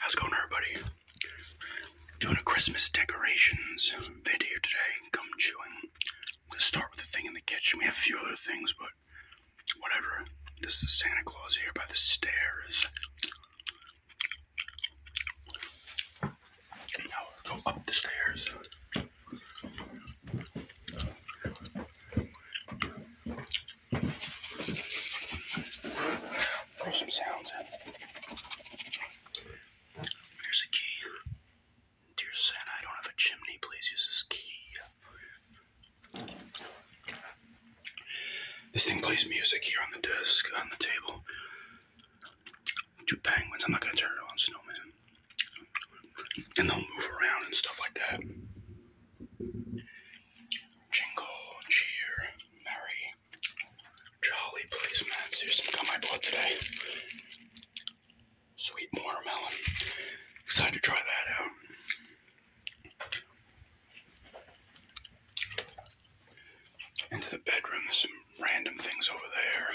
How's it going, everybody? Doing a Christmas decorations video today. Come chewing. I'm start with the thing in the kitchen. We have a few other things, but whatever. This is Santa Claus here by the stairs. Now go up the stairs. Throw some sounds in. Here's a key. Dear Santa, I don't have a chimney. Please use this key. This thing plays music here on the desk, on the table. Two penguins. I'm not going to turn it on, snowman. And they'll move around and stuff like that. Jingle, cheer, merry, jolly policeman. Here's some gum I bought today. Sweet watermelon. Excited to try that out. Into the bedroom, there's some random things over there.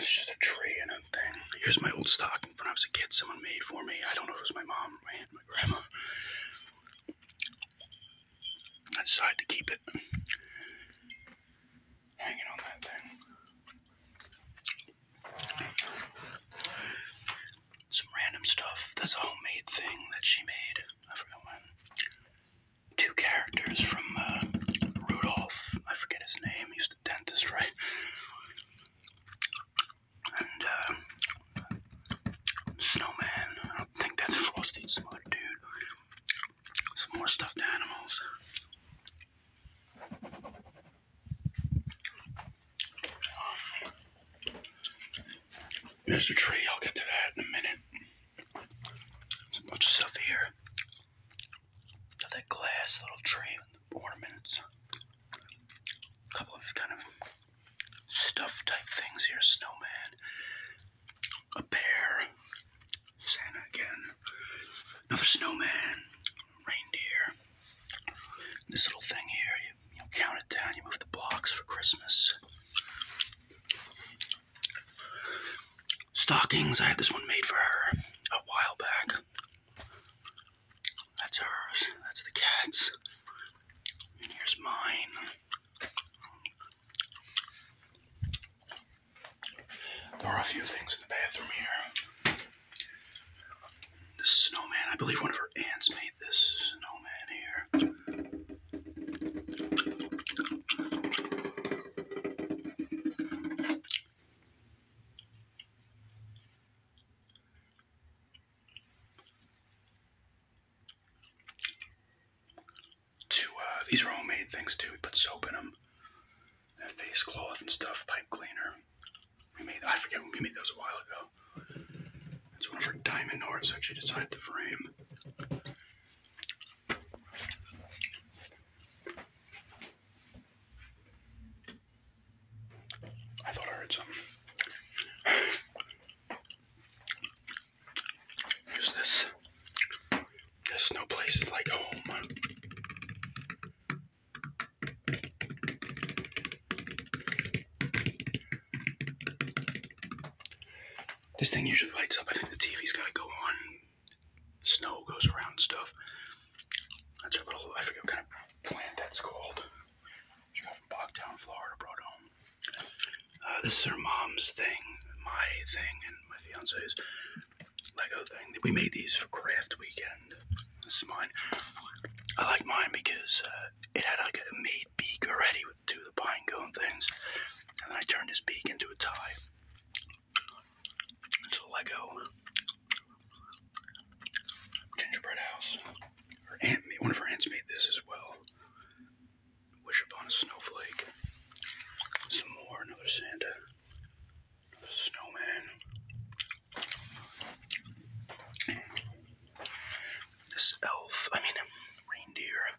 It's just a tree and Here's my old stocking when I was a kid, someone made for me. I don't know if it was my mom or my aunt, my grandma. I decided to keep it hanging on that thing. Some random stuff. That's homemade thing that she made. I forgot when. Two characters from uh, Rudolph. I forget his name. He was the dentist, right? and uh, snowman. I think that's Frosty, some other dude. Some more stuffed animals. There's a tree, I'll get to that in a minute. There's a bunch of stuff here. that glass little tree ornaments, a couple of kind of stuff type things here. Snowman, a bear, Santa again, another snowman, reindeer. This little thing here, you, count it down, you move the blocks for Christmas. Stockings, I had this one made for her a while back. That's hers. That's the cat's. And here's mine. There are a few things in the bathroom here. This snowman, I believe one of her aunts made this snowman here. Two, uh, these are homemade things too. We put soap in them, a face cloth and stuff, pipe cleaner. We made, I forget when we made those a while ago. It's one of our diamond arts, actually, decided to frame. I thought I heard some. There's this. There's no place like home. This thing usually lights up. I think the TV's got to go on. Snow goes around stuff. That's our little, I forget what kind of plant that's called. She got from Bogtown, Florida, brought home. Uh, this is her mom's thing, my thing, and my fiance's Lego thing. We made these for craft weekend. This is mine. I like mine because uh, it had like a made beak already with two of the pine cone things. And then I turned his beak into a tie. It's a Lego gingerbread house. Her aunt, made, one of her aunts made this as well. Wish upon a snowflake. Some more, another Santa, snowman. This elf, I mean, reindeer.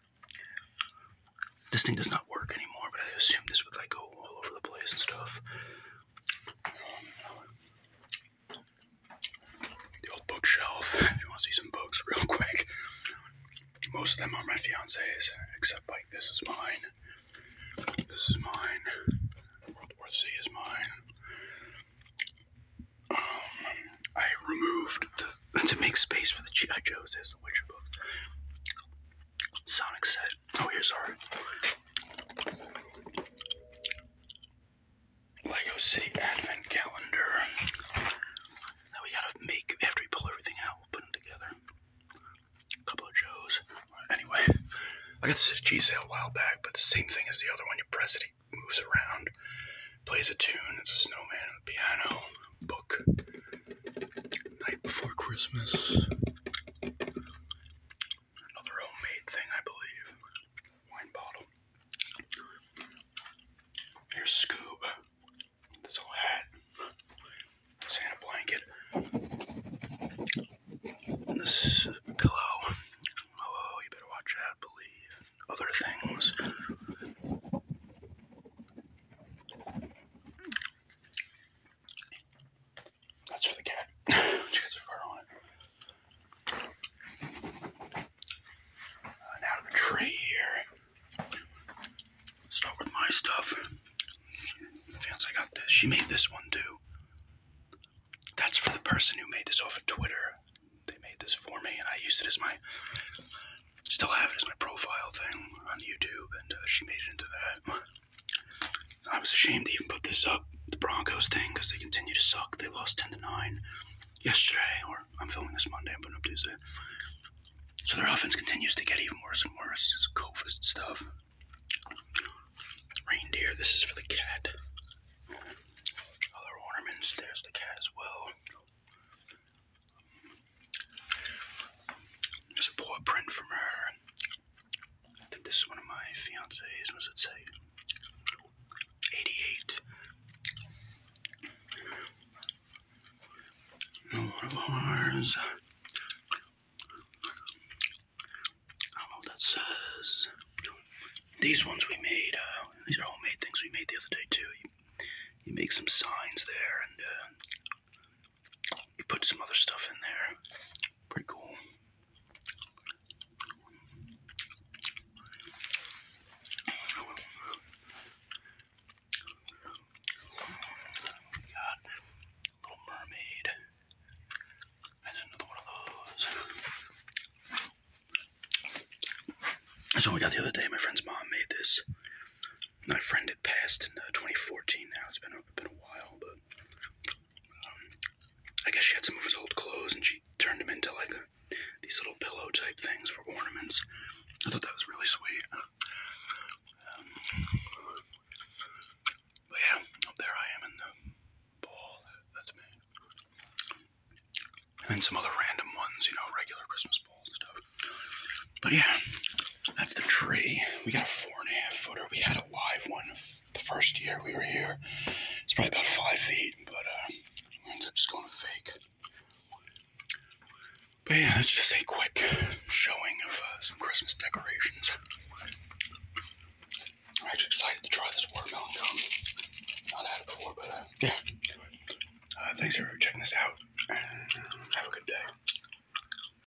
This thing does not work anymore, but I assume this would like go all over the place and stuff. The old bookshelf, if you want to see some books real quick. Most of them are my fiance's, except like this is mine. This is mine. World War Z is mine. Um, I removed the, to make space for the G.I. Joe's, there's the Witcher book. Sonic set. Oh, here's our Lego City Advent Calendar that we gotta make after we pull everything out. We'll put them together. couple of Joes. Anyway, I got this at cheese sale a while back, but the same thing as the other one. You press it, it moves around, plays a tune. It's a snowman on the piano. Book. Night Before Christmas. Another homemade thing, I believe. Wine bottle. Here's Scoob. This whole hat. Santa blanket. this pillow. Oh, you better watch out, believe. Other things. That's for the cat. she has her fur on it. And uh, out the tree here. Start with my stuff. Fans, I got this. She made this one too. That's for the person who made this off of Twitter. They made this for me, and I used it as my. Still have it as my profile thing on YouTube, and uh, she made it into that. I was ashamed to even put this up, the Broncos thing, because they continue to suck. They lost 10 to 9 yesterday, or I'm filming this Monday, I'm putting up Tuesday. So their offense continues to get even worse and worse. This stuff. Reindeer, this is for the cat. Other ornaments, there's the cat as well. There's a paw print from her this is one of my fiance's. What's it say? 88. One of ours. I do that says. These ones we made, uh, these are homemade things we made the other day too. You, make some signs there and uh, you put some other stuff in there. Pretty cool. We got Little Mermaid. another one of those. So we got the other day. My friend's mom made this. My friend had passed in uh, 2014. Now it's been been a while, but I guess she had some of his old clothes and she turned them into like these little pillow type things for ornaments. I thought that was really sweet. Um, but yeah, up there I am in the ball. That's me. And then some other random ones, you know, regular Christmas balls and stuff. But yeah, that's the tree. We got a four and a half footer. We had a live one the first year we were here. It's probably about five feet, but uh, we ended up just going to fake. But yeah, that's just a quick showing of uh, some Christmas decorations. I'm actually excited to try this watermelon gum. Not had it before, but uh, yeah. Uh, thanks everyone for checking this out, have a good day.